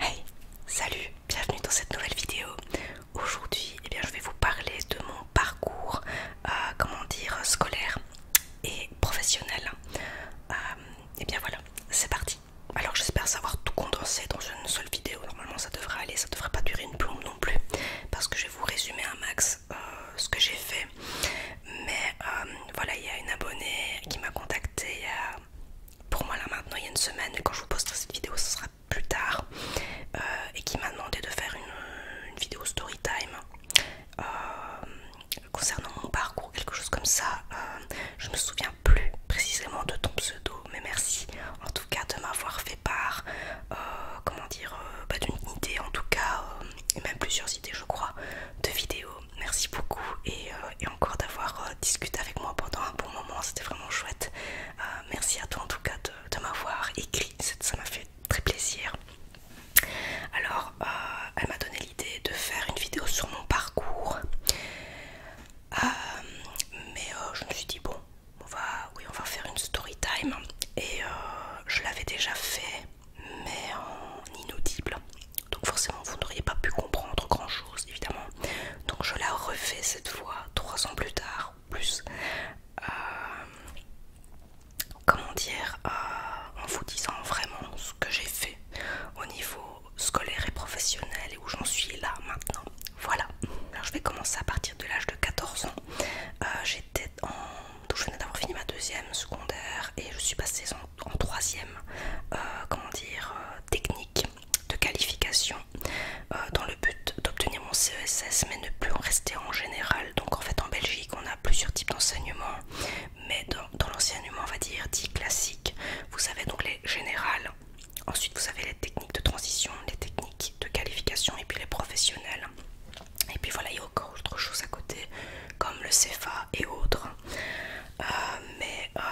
Hey, salut, bienvenue dans cette nouvelle vidéo. Aujourd'hui, eh je vais vous parler de mon parcours, euh, comment dire, scolaire et professionnel. et euh, eh bien voilà, c'est parti. Alors j'espère savoir tout condenser dans une seule vidéo. Normalement, ça devrait aller, ça devrait pas durer une plombe non plus, parce que je vais vous résumer un max euh, ce que j'ai fait. Mais voilà, il y a une abonnée qui m'a contacté il pour moi là maintenant il y a une semaine quand je vous posterai cette vidéo ce sera plus tard euh, et qui m'a demandé de faire une, vidéo storytime euh, concernant mon parcours quelque chose comme ça Je euh, je me souviens plus précisément de ton pseudo mais merci en tout cas de m'avoir fait part comment dire bah, d'une idée en tout cas et même plusieurs idées je crois de vidéos merci beaucoup et, euh, encore d'avoir euh, discuté avec moi pendant un bon moment, c'était vraiment chouette. Euh, merci à toi en tout cas de, m'avoir écrit, ça m'a fait très plaisir. Alors, elle m'a donné l'idée de faire une vidéo sur mon parcours, mais je me suis dit bon, on va, oui, on va faire une story time et je l'avais déjà fait, mais en inaudible donc forcément vous n'auriez pas pu comprendre grand chose évidemment donc je la refais cette fois trois ans plus tard plus euh, comment dire euh, en vous disant vraiment ce que j'ai fait au niveau scolaire et professionnel et où j'en suis là maintenant voilà alors je vais commencer à partir de l'âge de 14 ans euh, j'étais en donc je venais d'avoir fini ma deuxième secondaire et je suis passée en, troisième, euh, dire, euh, technique de qualification euh, dans le but d'obtenir mon CESS mais ne plus en rester en général. Donc en fait en Belgique on a plusieurs types d'enseignement mais dans, dans l'enseignement on va dire dit classique, vous avez donc les générales, ensuite vous avez les techniques de transition, les techniques de qualification et puis les professionnels. Et puis voilà, il y a encore autre chose à côté comme le CFA, et autres. Euh, mais euh,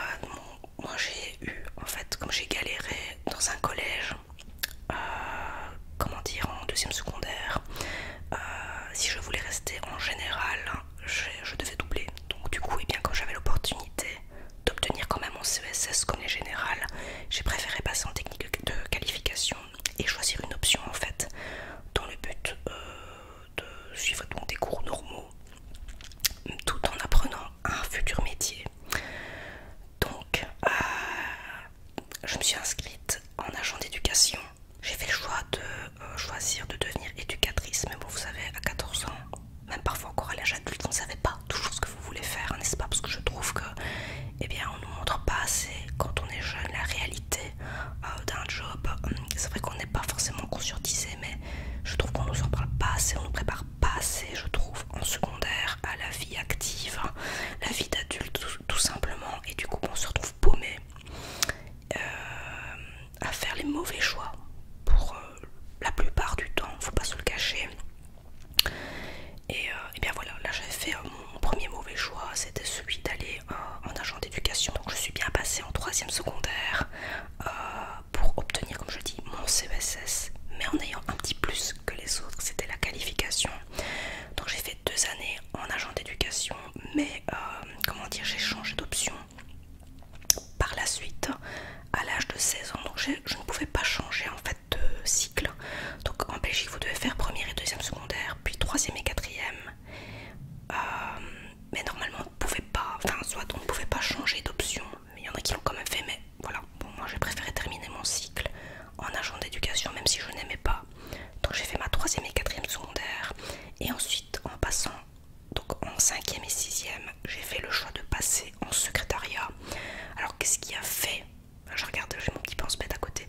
moi j'ai eu, en fait, comme j'ai galéré dans un collège, euh, comment dire, en deuxième secondaire, si je voulais rester en général, je, devais doubler. Donc du coup, et eh bien quand j'avais l'opportunité d'obtenir quand même mon CESS comme les général, j'ai préféré passer en technique de qualification et choisir une option en fait dans le but de suivre donc des cours normaux tout en apprenant un futur métier. Donc, euh, je me suis inscrite en agent d'éducation. J'ai fait le choix de euh, choisir de devenir éducatrice, même vous savez, à 14 ans, même parfois encore à l'âge adulte, vous ne savez pas toujours ce que vous voulez faire, n'est-ce pas Parce que je trouve que, eh bien, on ne nous montre pas assez, quand on est jeune, la réalité euh, d'un job. Euh, c'est vrai qu'on n'est pas forcément conscientisé, mais je trouve qu'on nous en parle pas assez, on nous prépare pas assez, je trouve, en secondaire à la vie active, la vie d'adulte tout, simplement, et du coup on se retrouve paumé euh, à faire les mauvais choix pour la plupart du temps, faut pas se le cacher. Et, bien voilà, là j'avais fait mon premier mauvais choix, c'était celui d'aller euh, en agent d'éducation, donc je suis bien passée en troisième secondaire euh, pour obtenir, comme je dis, mon CSS, mais en ayant un petit plus que les autres, c'était la qualification. Donc j'ai fait deux années en agent d'éducation, mais euh, comment dire, j'ai changé d'option par la suite à l'âge de 16 ans, donc je ne pouvais pas changer en fait de cycle. Donc en Belgique, vous devez faire première et deuxième secondaire, puis troisième et quatrième, euh, mais normalement, on ne pouvait pas, enfin, soit on ne pouvait pas changer d'option, mais il y en a qui l'ont quand même fait. Mais voilà, bon, moi j'ai préféré terminer mon cycle en agent d'éducation, même si je n'aimais pas. Donc j'ai fait ma troisième et quatrième secondaire, et ensuite en passant. Donc en 5 et 6 j'ai fait le choix de passer en secrétariat. Alors qu'est-ce qui a fait Je regarde, j'ai mon petit pense-bête à côté.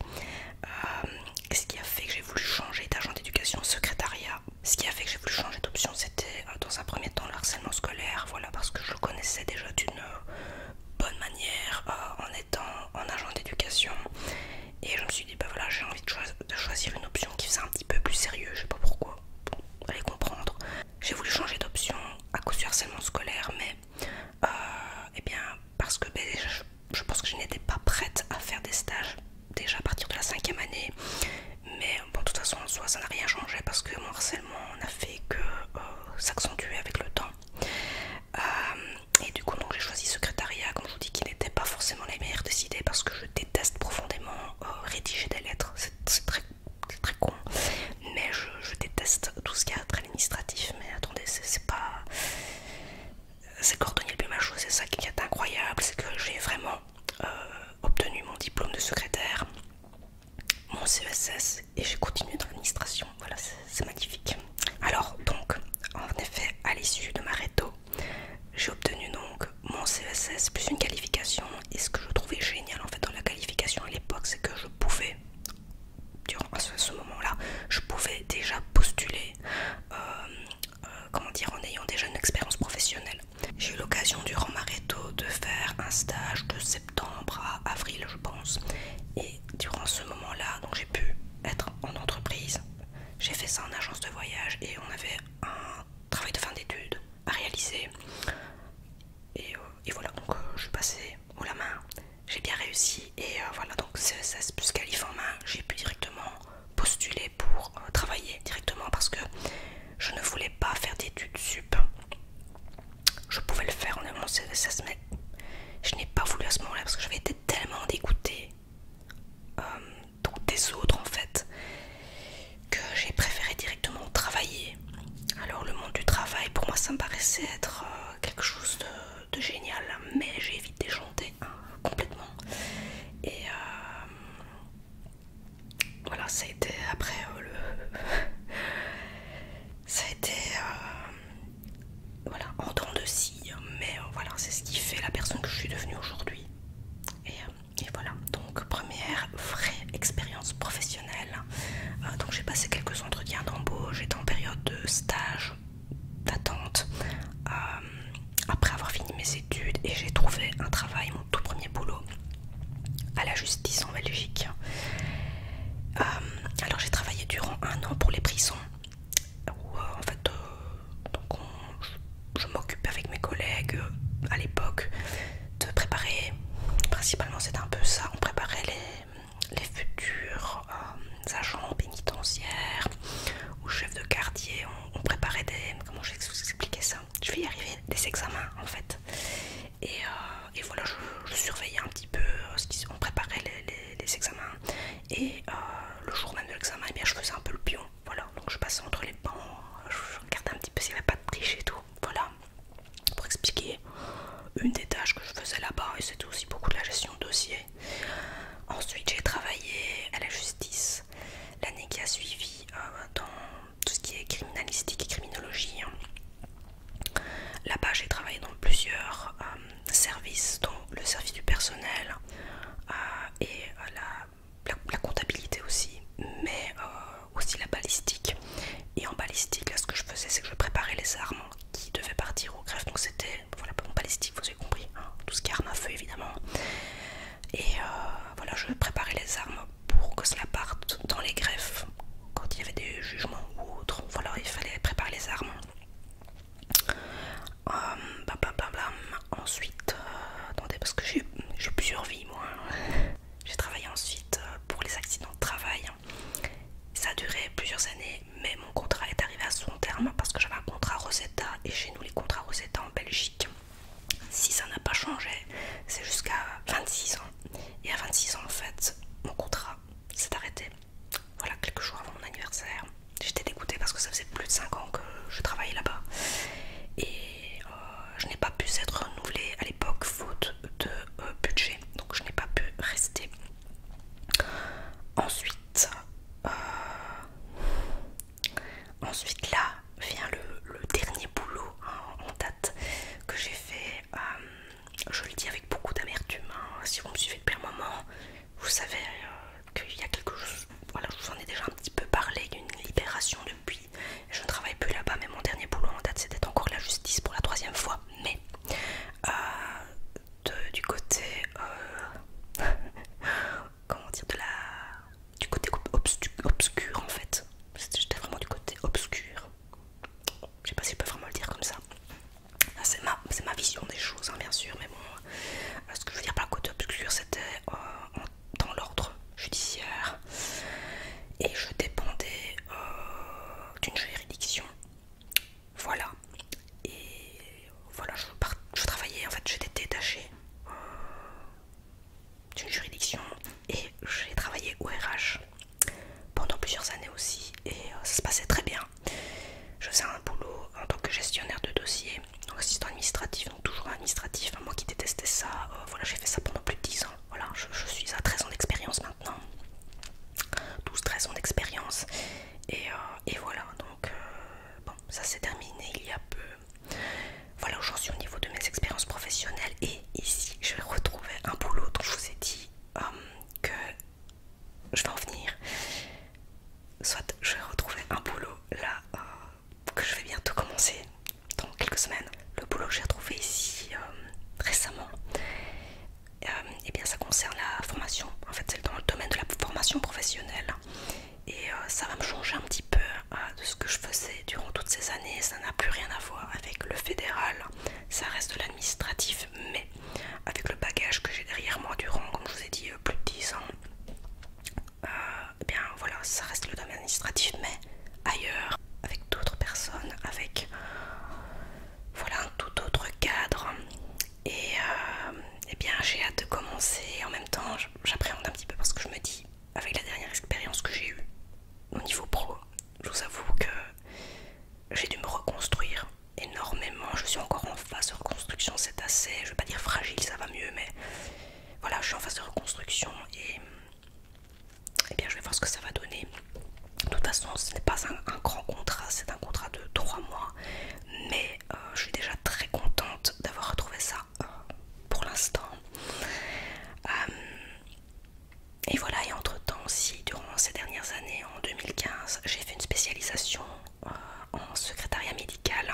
Euh, ce qui a fait que j'ai voulu changer d'agent d'éducation secrétariat. Ce qui a fait que j'ai voulu changer d'option, c'était euh, dans un premier temps le harcèlement scolaire, voilà, parce que je le connaissais déjà d'une euh, bonne manière euh, en étant en agent d'éducation. Et je me suis dit, bah voilà, j'ai envie de, choisir une option qui faisait un petit peu plus sérieux, je sais pas pourquoi, bon, allez comprendre. J'ai voulu changer d'option à cause du harcèlement scolaire, mais, euh, eh bien, parce que ben, je, pense que je n'étais pas prête à faire des stages déjà à partir de la cinquième année. Mais bon, de toute façon, en soi, ça n'a rien changé parce que mon harcèlement n'a fait que euh, s'accentuer avec le temps. Euh, et du coup, j'ai choisi secrétariat, comme je vous dis, qui n'était pas forcément les meilleures décidées parce que je déteste profondément euh, rédiger des lettres. C'est très, con, mais je, je déteste tout ce qui est administratif. Mais attendez, c'est pas c'est cordonnier le c'est ça qui est incroyable, c'est que j'ai vraiment euh, obtenu mon diplôme de secrétaire, mon CSS e et j'ai continué dans l'administration. Voilà, c'est magnifique. Alors donc, en effet, à l'issue de ma réto, j'ai obtenu donc mon CSS e plus une qualification et ce que je trouvais génial en fait dans la qualification à l'époque, c'est que je pouvais durant ce, moment-là, je pouvais déjà postuler, euh, euh, comment dire, en ayant déjà une expérience professionnelle. J'ai eu l'occasion durant ma réto de faire un stage de septembre à avril, je pense. Et durant ce moment-là, j'ai pu être en entreprise. J'ai fait ça en agence de voyage et on avait un travail de fin d'études à réaliser. Et, euh, voilà, donc je suis passée haut la main j'ai bien réussi et euh, voilà donc CSS plus Calif en main j'ai pu directement postuler pour euh, travailler directement parce que je ne voulais pas faire d'études sup je pouvais le faire en mon CESS mais je n'ai pas voulu à ce moment là parce que j'avais été tellement dégoûtée euh, donc des autres en fait que j'ai préféré directement travailler alors le monde du travail pour moi ça me paraissait être quelque chose de de génial, mais j'ai évité de chanter hein, complètement. Et euh, voilà, ça a été après euh, le. ça a été. Euh, voilà, en temps de scie, mais voilà, c'est ce qui fait la personne que je suis devenue aujourd'hui. Et, voilà, donc première vraie expérience professionnelle. donc j'ai passé quelques entretiens d'embauche, j'étais en période de stage d'attente. Euh, après avoir fini mes études et j'ai trouvé un travail, mon tout premier boulot à la justice en Belgique. Euh, alors j'ai travaillé durant un an pour les prisons où euh, en fait je, m'occupais avec mes collègues à l'époque de préparer, principalement c'était un peu ça, on préparait les les futurs euh, agents pénitentiaires ou chefs de quartier ont, préparé des... Comment je vais expliquer ça Je vais y arriver, des examens en fait. Et, euh, voilà, je, surveillais un petit peu euh, ce qu'ils ont préparé les, examens. Et le jour même de l'examen, eh bien je faisais un peu le pion. Voilà, donc je passais entre les bancs, je regardais un petit peu s'il n'y avait pas de triche et tout. Voilà pour expliquer une des tâches que je faisais là-bas et c'était aussi beaucoup de la gestion de dossier. Ensuite j'ai travaillé à la justice l'année qui a suivi euh, dans tout ce qui est criminalistique et criminologie. Hein. Là-bas j'ai travaillé dans plusieurs euh, services dont le service du personnel euh, et la, comptabilité aussi mais aussi la balistique. Et en balistique là ce que je faisais c'est que je préparais les armes qui devait partir aux greffes, Donc c'était voilà, bon vous avez compris, hein. tout ce qui arme à feu évidemment. Et euh, voilà, je préparais les armes pour que cela parte dans les greffes quand il y avait des jugements ou autres. Voilà, il fallait préparer les armes. Euh, Ensuite, euh, attendez parce que j'ai plusieurs vies moi. Hein. J'ai travaillé ensuite euh, pour les accidents de travail. Ça a duré plusieurs années, mais mon contrat est arrivé à son terme parce que j'avais un contrat Rosetta et chez nous les contrats Rosetta en Belgique. Si ça n'a pas changé, c'est jusqu'à 26 ans. Et à 26 ans en fait, mon contrat s'est arrêté. Voilà, quelques jours avant mon anniversaire. J'étais dégoûtée parce que ça faisait plus de 5 ans que je travaillais là-bas. Et euh, je n'ai pas pu être renouvelée à l'époque faute de euh, budget donc je n'ai pas pu rester. Ensuite, euh, ensuite là vient le, dernier boulot hein, en date que j'ai fait. Euh, je le dis avec beaucoup d'amertume. Hein, si vous me suivez depuis un moment, vous savez euh, qu'il y a quelque chose. Voilà, je vous en ai déjà un petit peu parlé. Il une libération depuis je ne travaille plus là-bas, mais mon dernier boulot en date, c'était encore la justice pour la troisième fois. Mais euh, du côté, euh, comment dire, du côté obscur en fait. J'étais vraiment du côté obscur. Je sais pas si je peux vraiment le dire comme ça. Ah, c'est ma, vision des choses, hein, bien sûr, mais bon, euh, ce que je veux dire par le côté obscur, c'était dans l'ordre judiciaire, et je dépendais euh, d'une juridiction. Voilà. Et voilà, je, travaillais, en fait j'étais détachée euh, d'une juridiction et j'ai travaillé au RH pendant plusieurs années aussi et euh, ça se passait très bien. Je faisais un boulot en tant que gestionnaire de dossier, assistant administratif, donc toujours administratif, hein, moi qui détestais ça, voilà j'ai fait ça pendant plus de 10 ans voilà, je, suis à 13 ans d'expérience maintenant. 12-13 ans d'expérience. Et, euh, voilà, donc euh, bon, ça s'est terminé il y a peu. Voilà, aujourd'hui au niveau de mes expériences professionnelles. Et ici, je vais retrouver un boulot dont je vous ai dit euh, que je vais en venir. Soit je vais retrouver un boulot là que je vais bientôt commencer dans quelques semaines. Le boulot que j'ai retrouvé ici euh, récemment, et euh, eh bien ça concerne la formation. En fait, c'est dans le domaine de la formation professionnelle. Et euh, ça va me changer un petit peu de ce que je faisais durant toutes ces années. Ça n'a plus rien à voir avec le fédéral. Ça reste de l'administratif, mais avec le bagage que j'ai derrière moi durant, comme je vous ai dit, plus de 10 ans. Eh bien voilà, ça reste le domaine administratif, mais ailleurs, avec d'autres personnes, avec voilà un tout autre cadre. Et, et euh, eh bien j'ai hâte de commencer. En même temps, j'appréhende un petit peu parce que je me dis, avec la dernière expérience que j'ai eue au niveau pro, je vous avoue que j'ai dû me reconstruire énormément. Je suis encore en phase de reconstruction, c'est assez, je vais pas dire fragile, ça va mieux, mais voilà, je suis en phase de reconstruction et et eh bien je vais voir ce que ça va donner. De toute façon, ce n'est pas un, grand contrat, c'est un contrat de 3 mois, mais euh, je suis déjà très contente d'avoir retrouvé ça euh, pour l'instant. Euh, et voilà, et entre temps aussi, durant ces dernières années, en 2015, j'ai fait une spécialisation en secrétariat médical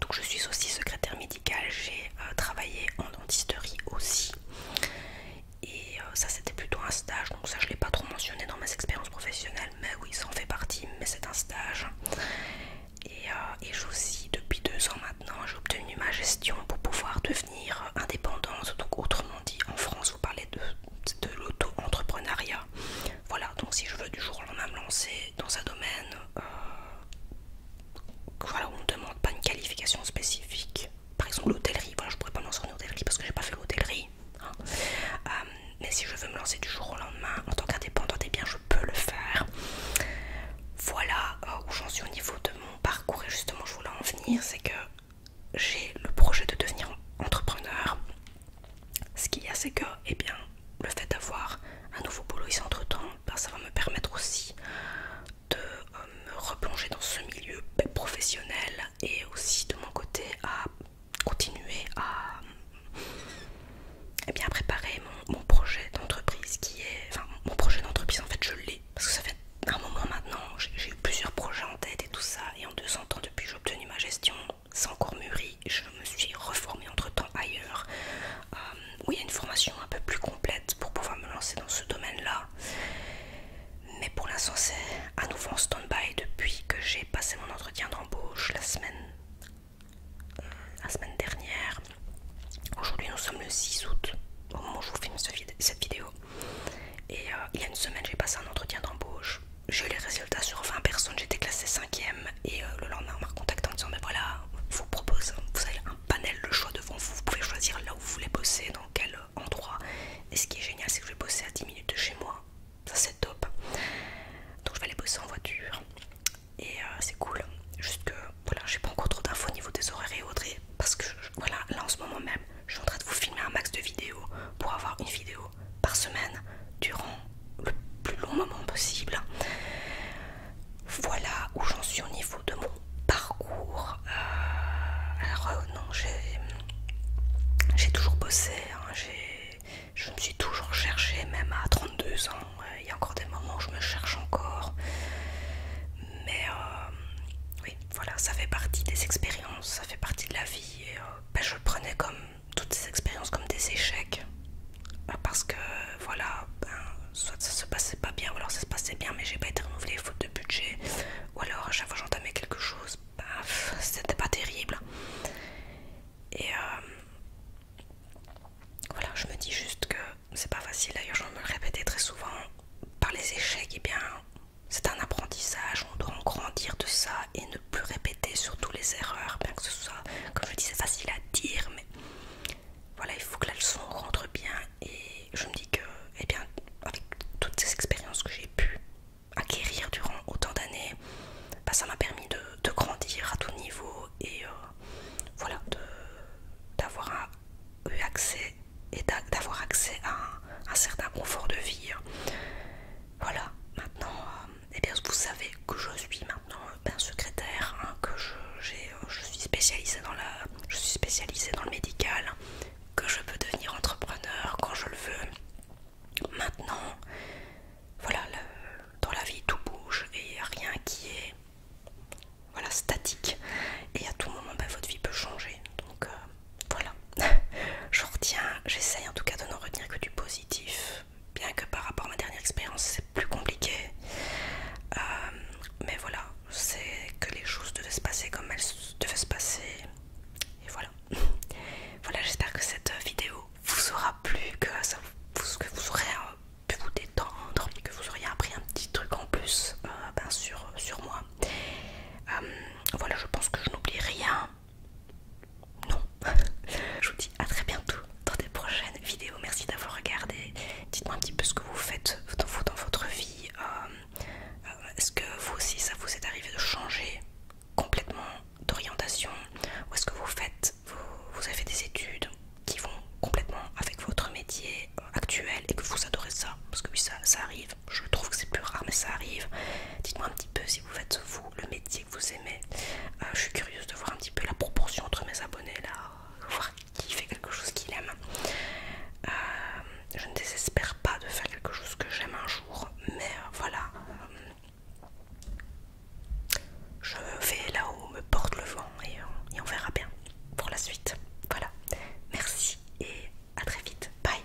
donc je suis aussi secrétaire médicale, j'ai euh, travaillé en dentisterie aussi. Et euh, ça c'était plutôt un stage, donc ça je ne l'ai pas trop mentionné dans mes expériences professionnelles, mais oui ça en fait partie, mais c'est un stage. Et, euh, et j'ai aussi depuis deux ans maintenant, j'ai obtenu ma gestion pour pouvoir devenir indépendante, donc autrement dit en France vous parlez de, l'auto-entrepreneuriat. Voilà, donc si je veux du jour au lendemain me lancer dans un domaine, voilà, on ne demande pas une qualification spécifique. Par exemple, l'hôtellerie, je pourrais pas me lancer en hôtellerie parce que j'ai pas fait l'hôtellerie. Hein. Euh, mais si je veux me lancer du jour au lendemain en tant qu'indépendante, et eh bien je peux le faire. Voilà euh, où j'en suis au niveau de mon parcours et justement je voulais en venir, c'est que j'ai le projet de devenir entrepreneur. Ce qu'il y a, c'est que, et eh bien, le fait d'avoir un nouveau boulot ici entre temps, ben, ça va me permettre aussi de euh, me replonger dans ce milieu ben, professionnel et aussi de mon côté à continuer à eh bien, préparer mon, projet d'entreprise qui est. Enfin, mon projet d'entreprise en fait, je l'ai parce que ça fait un moment maintenant, j'ai eu plusieurs projets en tête et tout ça, et en 200 ans, depuis j'ai obtenu ma gestion, sans encore mûri je me suis reformée entre temps ailleurs euh, où il y a une formation un peu plus complète pour pouvoir me lancer dans ce domaine là mais pour l'instant c'est à nouveau en stand-by depuis que j'ai passé mon entretien d'embauche la semaine euh, la semaine dernière aujourd'hui nous sommes le 6 août au moment où je vous filme cette vidéo et euh, il y a une semaine j'ai passé un entretien d'embauche j'ai eu les résultats sur 20 personnes j'étais classée 5ème et euh, le lendemain on m'a contacté en disant mais voilà vous propose vous avez un panel de choix devant vous vous pouvez choisir là où vous voulez bosser dans quel euh, endroit et ce qui est génial c'est que je vais bosser à 10 minutes de chez moi ça c'est top donc je vais aller bosser en voiture et euh, c'est cool juste que voilà j'ai pas encore trop d'infos au niveau des horaires et autres parce que voilà là en ce moment même je suis en train de vous filmer un max de vidéos pour avoir une vidéo par semaine durant le plus long moment possible. Voilà où j'en suis au niveau de mon parcours. Euh, alors euh, non, j'ai toujours bossé, hein, je me suis toujours cherchée, même à 32 ans. Euh, il y a encore des moments où je me cherche encore. Mais oui, voilà, ça fait partie des expériences, ça fait partie de la vie. Ben, je le prenais comme toutes ces expériences comme des échecs euh, parce que voilà ben, soit ça se passait pas bien ou alors ça se passait bien mais j'ai pas été renouvelée faute de budget ou alors à chaque fois j'entamais quelque chose ben, paf c'était pas terrible et euh, voilà je me dis juste que c'est pas facile d'ailleurs je me le répétais très souvent par les échecs et eh bien c'est un apprentissage on doit en grandir de ça et ne plus répéter tous les erreurs, bien que ce soit, comme je dis, c'est facile à dire, mais voilà, il faut que la leçon rentre bien. Et je me dis que, eh bien, avec toutes ces expériences que j'ai pu acquérir durant autant d'années, bah, ça m'a permis de, grandir à tout niveau et euh, voilà, voilà, d'avoir eu accès et d'avoir accès à un, certain confort de vie. Voilà, maintenant, euh, et eh bien vous savez que je suis maintenant un euh, ben, secrétaire, hein, que euh, je, suis spécialisée dans je suis spécialisée dans le médical, que je peux devenir entrepreneur quand je le veux. Maintenant, voilà, dans la vie tout bouge et rien qui est voilà statique et à tout moment ben, votre vie peut changer donc euh, voilà je retiens j'essaye en tout cas de n'en retenir que du positif bien que par rapport à ma dernière expérience c'est plus compliqué euh, mais voilà c'est que les choses devaient se passer comme elles devaient se passer et voilà voilà j'espère que cette vidéo vous aura plu que, vous, que vous aurez euh, pu vous détendre que vous auriez appris un petit truc en plus euh, ben, sur, moi voilà je pense que je n'oublie rien non. je vous dis à très bientôt dans des prochaines vidéos. Merci d'avoir regardé. Dites-moi un petit peu ce que vous faites dans, votre vie. Euh, euh, est-ce que vous aussi ça vous est arrivé de changer complètement d'orientation Ou est-ce que vous faites, vous, avez des études qui vont complètement avec votre métier euh, actuel et que vous adorez ça Parce que oui, ça, ça arrive. Je trouve que c'est plus rare, mais ça arrive. Dites-moi un petit peu si vous faites vous le métier vous aimez. Euh, je suis curieuse de voir un petit peu la proportion entre mes abonnés là, voir qui fait quelque chose qu'il aime. Euh, je ne désespère pas de faire quelque chose que j'aime un jour, mais euh, voilà. je vais là où me porte le vent et on verra bien pour la suite. Voilà. Merci et à très vite. Bye.